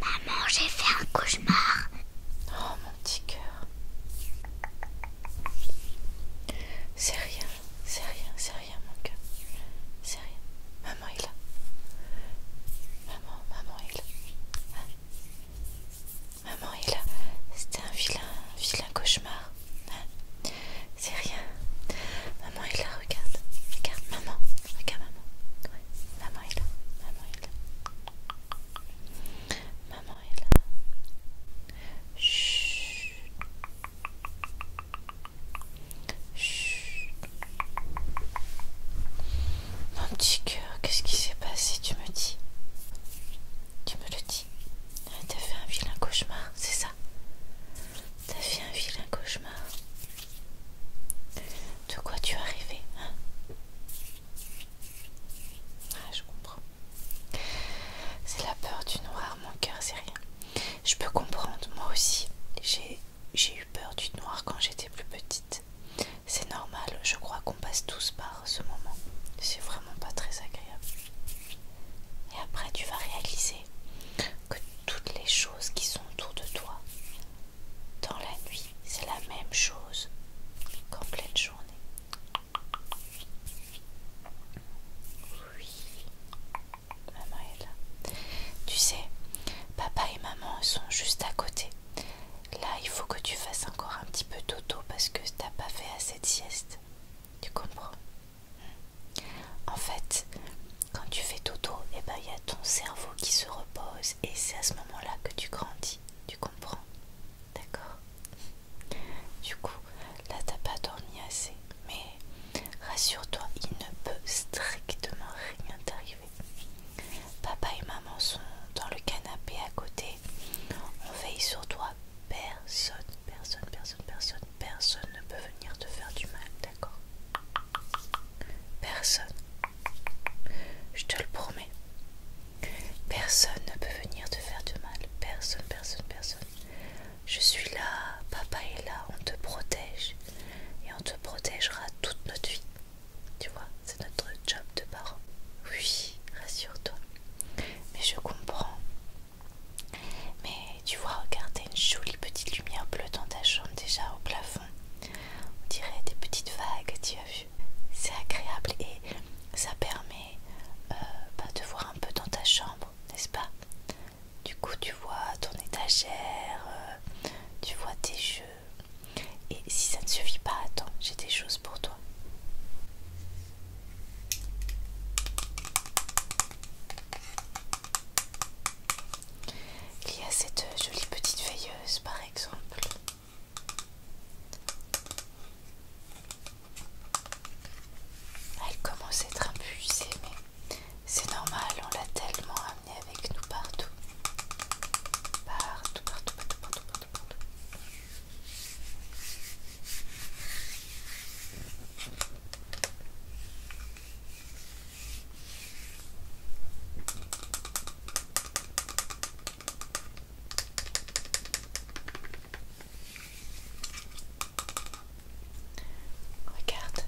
Maman, j'ai fait un cauchemar. Oh mon petit cœur. C'est rien, c'est rien, c'est rien mon cœur. C'est rien. Maman est là. Maman, maman est là. maman est là. C'était un vilain, vilain cauchemar. Hein. C'est rien. Maman est là, regarde. Regarde, maman. Regarde, maman. Maman est là. Maman est là. Maman est là. Chut. Chut. Mon petit cœur, qu'est-ce qui s'est passé Tu me dis Tu me le dis T'as fait un vilain cauchemar, c'est ça T'as fait un vilain cauchemar. De quoi tu as rêvé, hein? Ah, je comprends. C'est la peur du noir, mon cœur, c'est rien. Je peux comprendre, moi aussi. J'ai eu peur du noir quand j'étais plus petite. C'est normal, je crois qu'on passe tous par ce moment. C'est vraiment pas très agréable. Et après, tu vas réaliser que toutes les choses qui sont autour de toi. Dans la nuit, c'est la même chose qu'en pleine journée. Oui, maman est là. Tu sais, papa et maman sont juste à côté. Là, il faut que tu fasses encore un petit peu d'auto parce que t'as pas fait assez de sieste. Tu comprends en fait, quand tu fais dodo, eh ben, il ben, y a ton cerveau qui se repose et c'est à ce moment-là que tu grandis, tu comprends D'accord Du coup, là, t'as pas dormi assez. Mais rassure-toi, il ne peut strictement rien t'arriver. Papa et maman sont dans le canapé à côté. On veille sur toi. Personne, personne, personne, personne, personne ne peut venir te faire du mal, D'accord. Personne. Je te le promets. Personne ne peut venir te faire du mal. Personne, personne, personne. Je suis là, papa est là, on te protège. Et on te protégera toute notre vie. Tu vois, c'est notre job de parents Oui, rassure-toi. Mais je comprends. Mais tu vois, regarde, a une jolie petite lumière bleue dans ta chambre déjà au plafond. On dirait des petites vagues, tu as vu. C'est agréable et ça permet euh, bah, de voir un peu dans ta chambre, n'est-ce pas Du coup, tu vois ton étagère, euh, tu vois tes jeux. Et si ça ne suffit pas, attends, j'ai des choses pour toi. Il y a cette jolie petite veilleuse par exemple. Elle commence à être abusée, mais c'est normal, on l'a tellement amenée avec nous partout. Partout, partout, partout, partout, partout, partout. Regarde.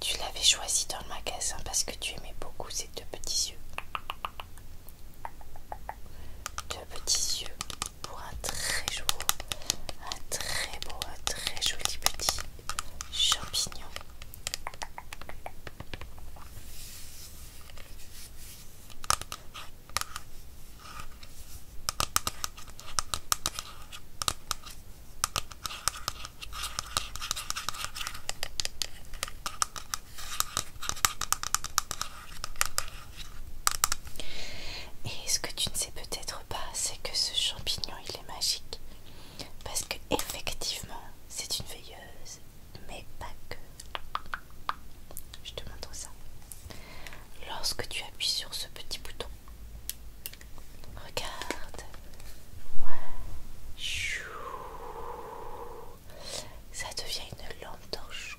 Tu l'avais choisi dans le magasin parce que tu aimais beaucoup ces deux petits yeux. Deux petits yeux pour un très joli, un très beau, un très joli petit champignon. Et ce que tu ne sais peut-être pas, c'est que ce champignon, il est magique. Parce que c'est une veilleuse, mais pas que. Je te montre ça. Lorsque tu appuies sur ce petit bouton, regarde. Ça devient une lampe torche.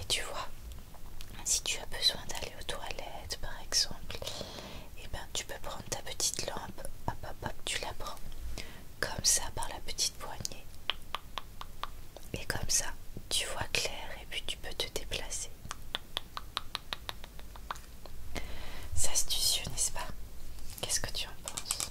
Et tu vois, si tu as besoin d'aller aux toilettes par exemple, et eh ben tu peux prendre ta petite lampe, à hop tu la prends, comme ça par la petite poignée. Et comme ça, tu vois clair et puis tu peux te déplacer. se astucieux, n'est-ce pas Qu'est-ce que tu en penses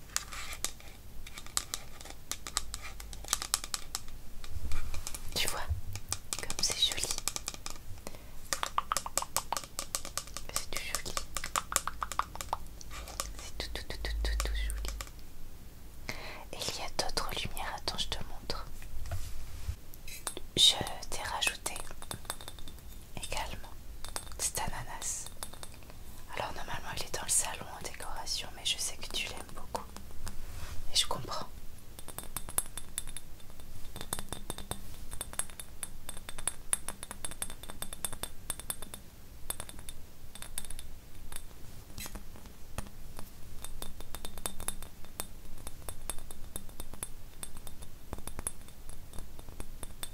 Tu vois, comme c'est joli. C'est tout joli. C'est tout, tout, tout, tout, tout, tout joli. il y a d'autres lumières. Attends, je te montre. Je t'ai rajouté également. C'est ananas. Alors normalement il est dans le salon en décoration, mais je sais que tu l'aimes beaucoup. Et je comprends.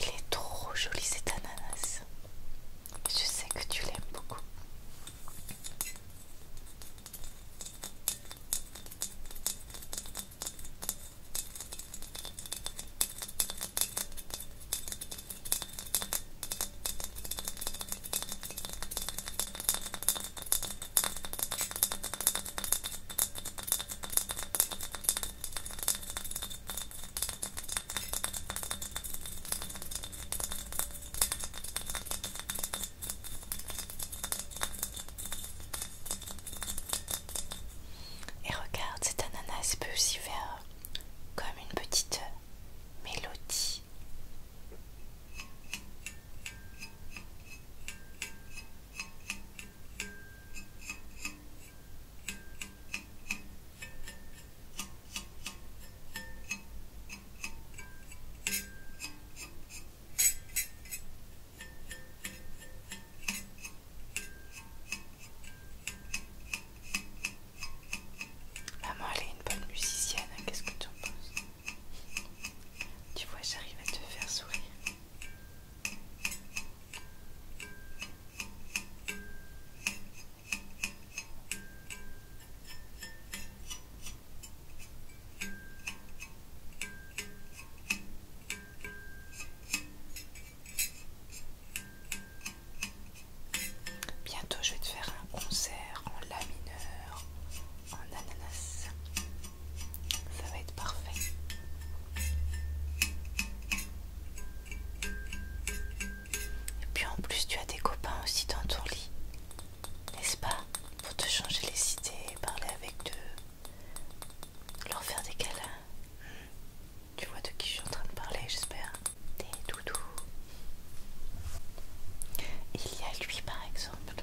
Il est trop joli cet ananas. Je sais que tu l'aimes beaucoup. Et regarde, cet ananas peut aussi faire comme une petite mélodie Maman, elle est une bonne musicienne, hein, qu'est-ce que tu en penses tu vois, j'arrive à te faire sourire. Bientôt je vais te faire un concert en la mineur en ananas. Ça va être parfait. Et puis en plus, tu as des copains aussi dans ton lit, n'est-ce pas Pour te changer les idées, parler avec eux, leur faire des câlins. Hmm. Tu vois de qui je suis en train de parler, j'espère. Des doudous. Il y a lui, par exemple.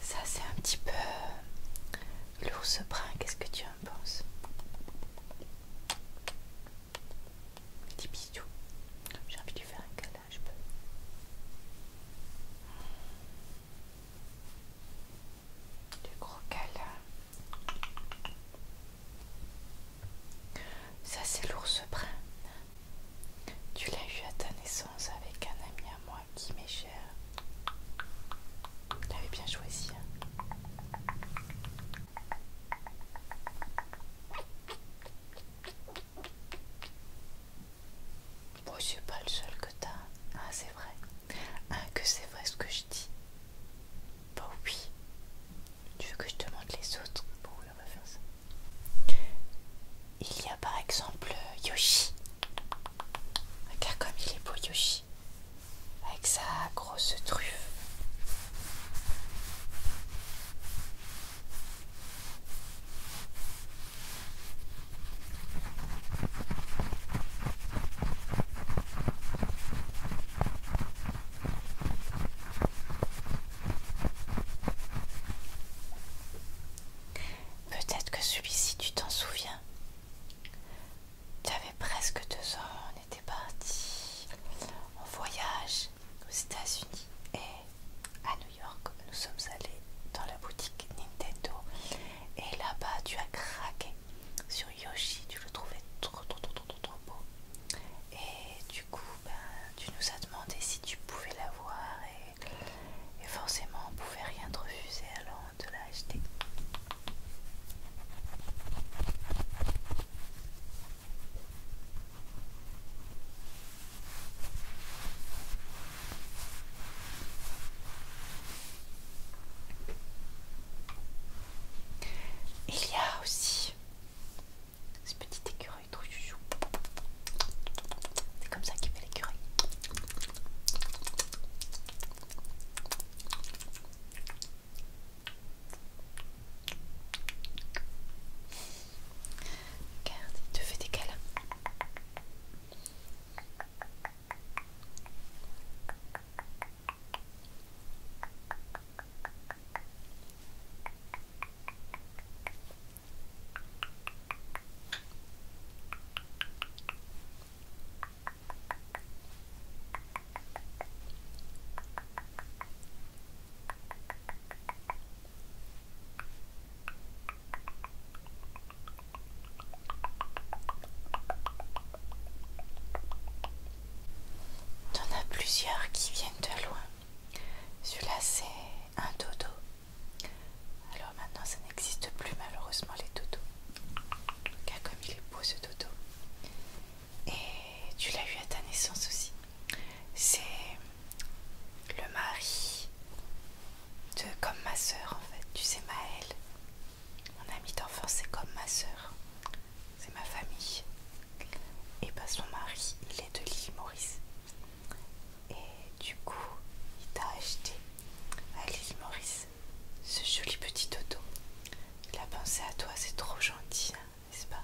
Ça c'est un petit peu ce brun, qu'est-ce que tu en penses des bisous. J'ai envie de lui faire un câlin, je peux. Du gros câlin. Ça c'est l'ours brun. Tu l'as eu à ta naissance avec un ami à moi qui m'est cher. Tu l'avais bien choisi. Hein. Bon, oh, c'est pas le seul que t'as. Ah, c'est vrai. Ah, que c'est vrai ce que je dis. Bah oui. Tu veux que je te montre les autres Bon, oui, on va faire ça. Il y a par exemple Yoshi. Regarde comme il est beau Yoshi. Avec sa grosse Peut-être que celui-ci, tu t'en souviens. Tu avais presque deux ans, on était parti en voyage aux États-Unis et à New York. Nous sommes allés dans la boutique Nintendo et là-bas, tu as craqué sur Yoshi. Tu le trouvais trop, trop, trop, trop, beau. Et du coup, ben, tu nous as demandé si tu pouvais l'avoir et, et forcément, on pouvait rien te refuser. Alors, on te l'a acheté. Il y a aussi ce petit écureuil trop chouchou. C'est comme ça qu'il fait l'écureuil. Regarde, tu te fait des T'en as plusieurs qui viennent de loin. Celui-là, c'est un dodo. Alors maintenant, ça n'existe plus malheureusement les dodos. car comme il est beau ce dodo et tu l'as eu à ta naissance aussi. C'est le mari de comme ma soeur en fait. Tu sais Maëlle, mon ami d'enfance, c'est comme ma sœur, C'est ma famille. Et pas bah, son mari, il est de l'île Maurice. Et du coup, il t'a acheté à lille Maurice ce joli petit auto. Il a pensé à toi, c'est trop gentil. Hein n'est-ce pas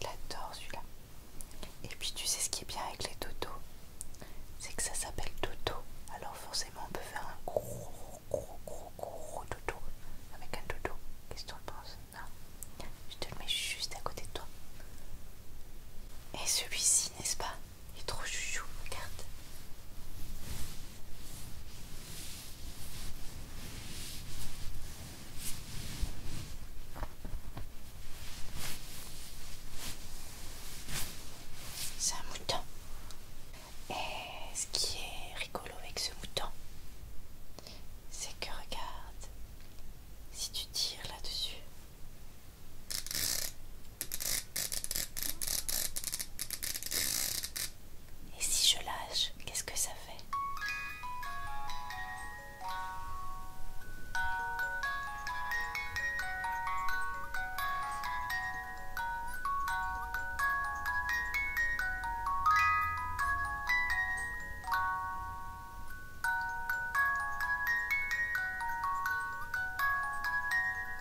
J'adore celui-là. Et puis tu sais ce qui est bien avec les totos C'est que ça s'appelle toto. Alors forcément on peut faire un gros gros gros gros toto avec un toto. Qu'est-ce que tu en penses non ah, Je te le mets juste à côté de toi. Et celui-ci, n'est-ce pas il est trop chouchou, regarde. C'est un mouton. Et ce qui est rigolo avec ce mouton, c'est que regarde, si tu tires là-dessus, et si je lâche, qu'est-ce que ça fait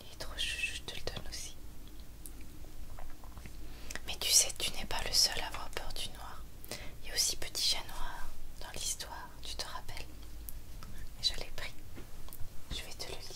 Il est trop chou, je te le donne aussi. Mais tu sais, tu n'es pas le seul à avoir peur du noir. Il y a aussi Petit Chat Noir dans l'histoire, tu te rappelles Je l'ai pris. Je vais te le lire.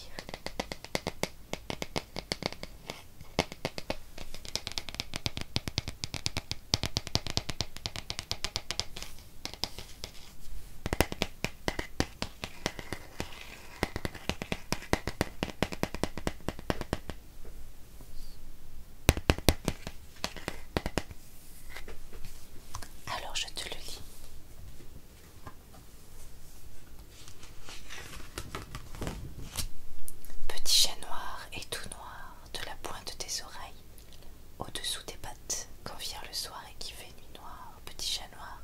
Alors je te le lis. Petit chat noir et tout noir de la pointe des oreilles au-dessous des pattes, quand vient le soir et qu'il fait nuit noire, petit chat noir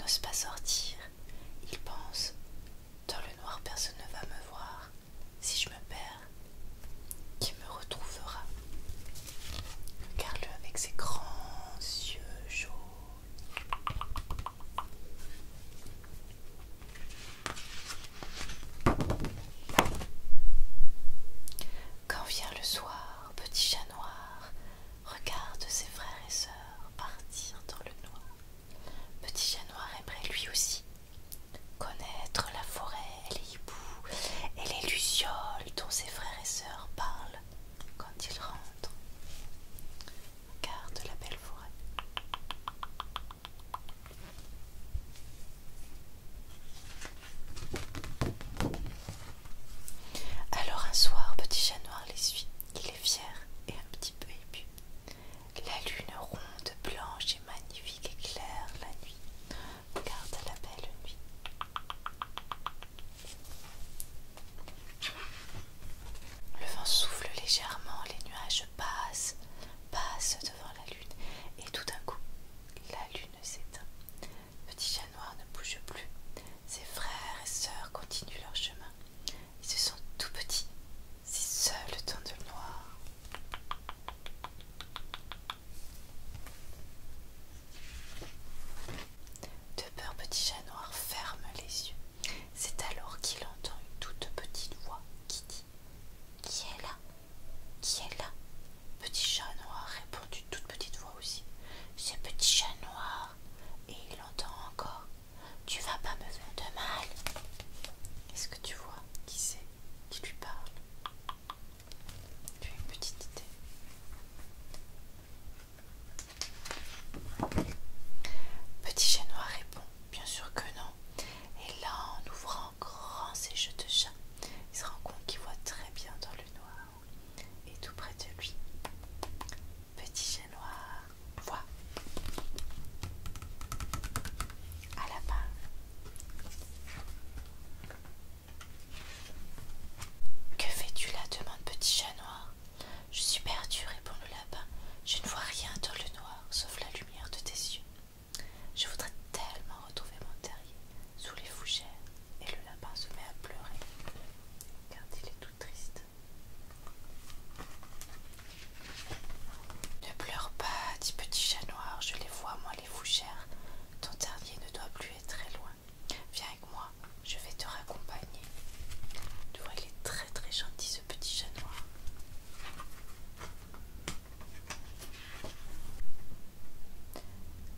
n'ose pas sortir. Il pense Dans le noir, personne ne va me voir. Si je me perds, qui me retrouvera Regarde-le avec ses grands yeux jaunes. Quand vient le soir, petit chat noir, regarde ses frères et sœurs partir dans le noir. Petit chat noir aimerait lui aussi connaître la forêt, les hiboux et les lucioles dont ses frères et sœurs parlent quand ils rentrent. Regarde la belle forêt. Alors un soir, Petit Chat Noir les suit. Il est fier et un petit peu épu La lune ronde, blanche et magnifique éclaire la nuit. Regarde la belle nuit. Le vent souffle légèrement, les nuages passent, passent devant la lune, et tout d'un coup, la lune s'éteint. Petit Chat Noir ne bouge plus. Ses frères et sœurs continuent leur chemin. Ils se sont tout petits, C'est seul le temps de noir. De peur, Petit Chat Noir ferme les yeux. C'est alors qu'il entend une toute petite voix qui dit Qui est là Qui est là Petit chat noir répond d'une toute petite voix aussi. C'est petit chat noir. Et il entend encore. Tu vas pas me faire de mal. Est-ce que tu vois qui c'est qui lui parle Tu as une petite idée. Petit chat noir répond. Bien sûr que non. Et là, en ouvrant grand ses jeux de chat, il se rend compte qu'il voit très bien dans le noir et tout près de lui. Petit Chat noir, voit. À la Que fais-tu là demande Petit Chat Noir. Je suis perdu, répond le lapin. Je ne vois rien dans le noir, sauf la lumière de tes yeux. Je voudrais tellement retrouver mon terrier sous les fougères, et le lapin se met à pleurer, car il est tout triste. Ne pleure pas, dit Petit Chat Noir, je les vois, moi, les fougères. Ton terrier ne doit plus être très loin. Viens avec moi, je vais te raccompagner. Tu vois, il est très très gentil ce petit chat noir.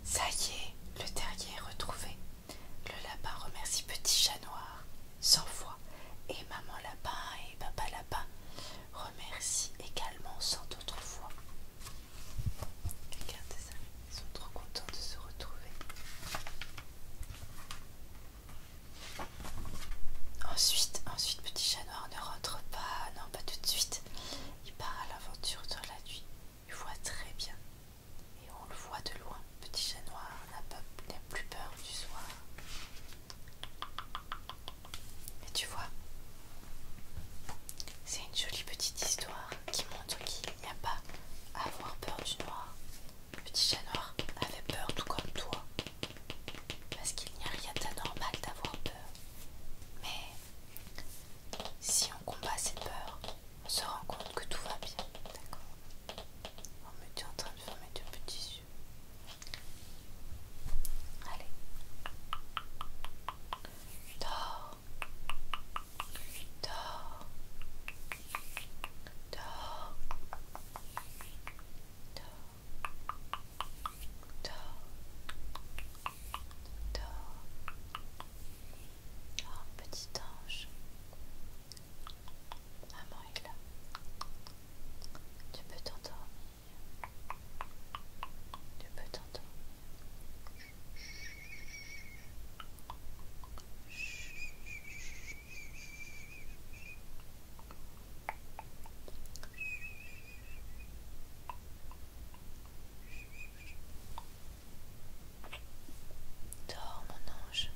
Ça y est le terrier est retrouvé. Le lapin remercie Petit Chat Noir 100 fois et Maman Lapin et Papa Lapin remercient également sans autres fois. Regardez ça, ils sont trop contents de se retrouver. Ensuite, ensuite Petit Chat Noir ne rentre pas, non pas tout de suite. Il part à l'aventure dans la nuit. Il voit très bien. Et on le voit de loin. Petit chat noir n'a plus peur du soir. Et tu vois, c'est une jolie petite histoire qui montre qu'il n'y a pas à avoir peur du noir. Petit chat noir avait peur tout comme toi. Parce qu'il n'y a rien d'anormal d'avoir peur. Mais si on combat cette peur, on se rend compte que tout va bien. D'accord On me dit en train de fermer deux petits yeux. Allez. Dors. Dors. Dors. Dors. Dors. Oh, petit ange. Maman est là. Tu peux t'endormir. Tu peux t'endormir. Chut. Dors mon ange.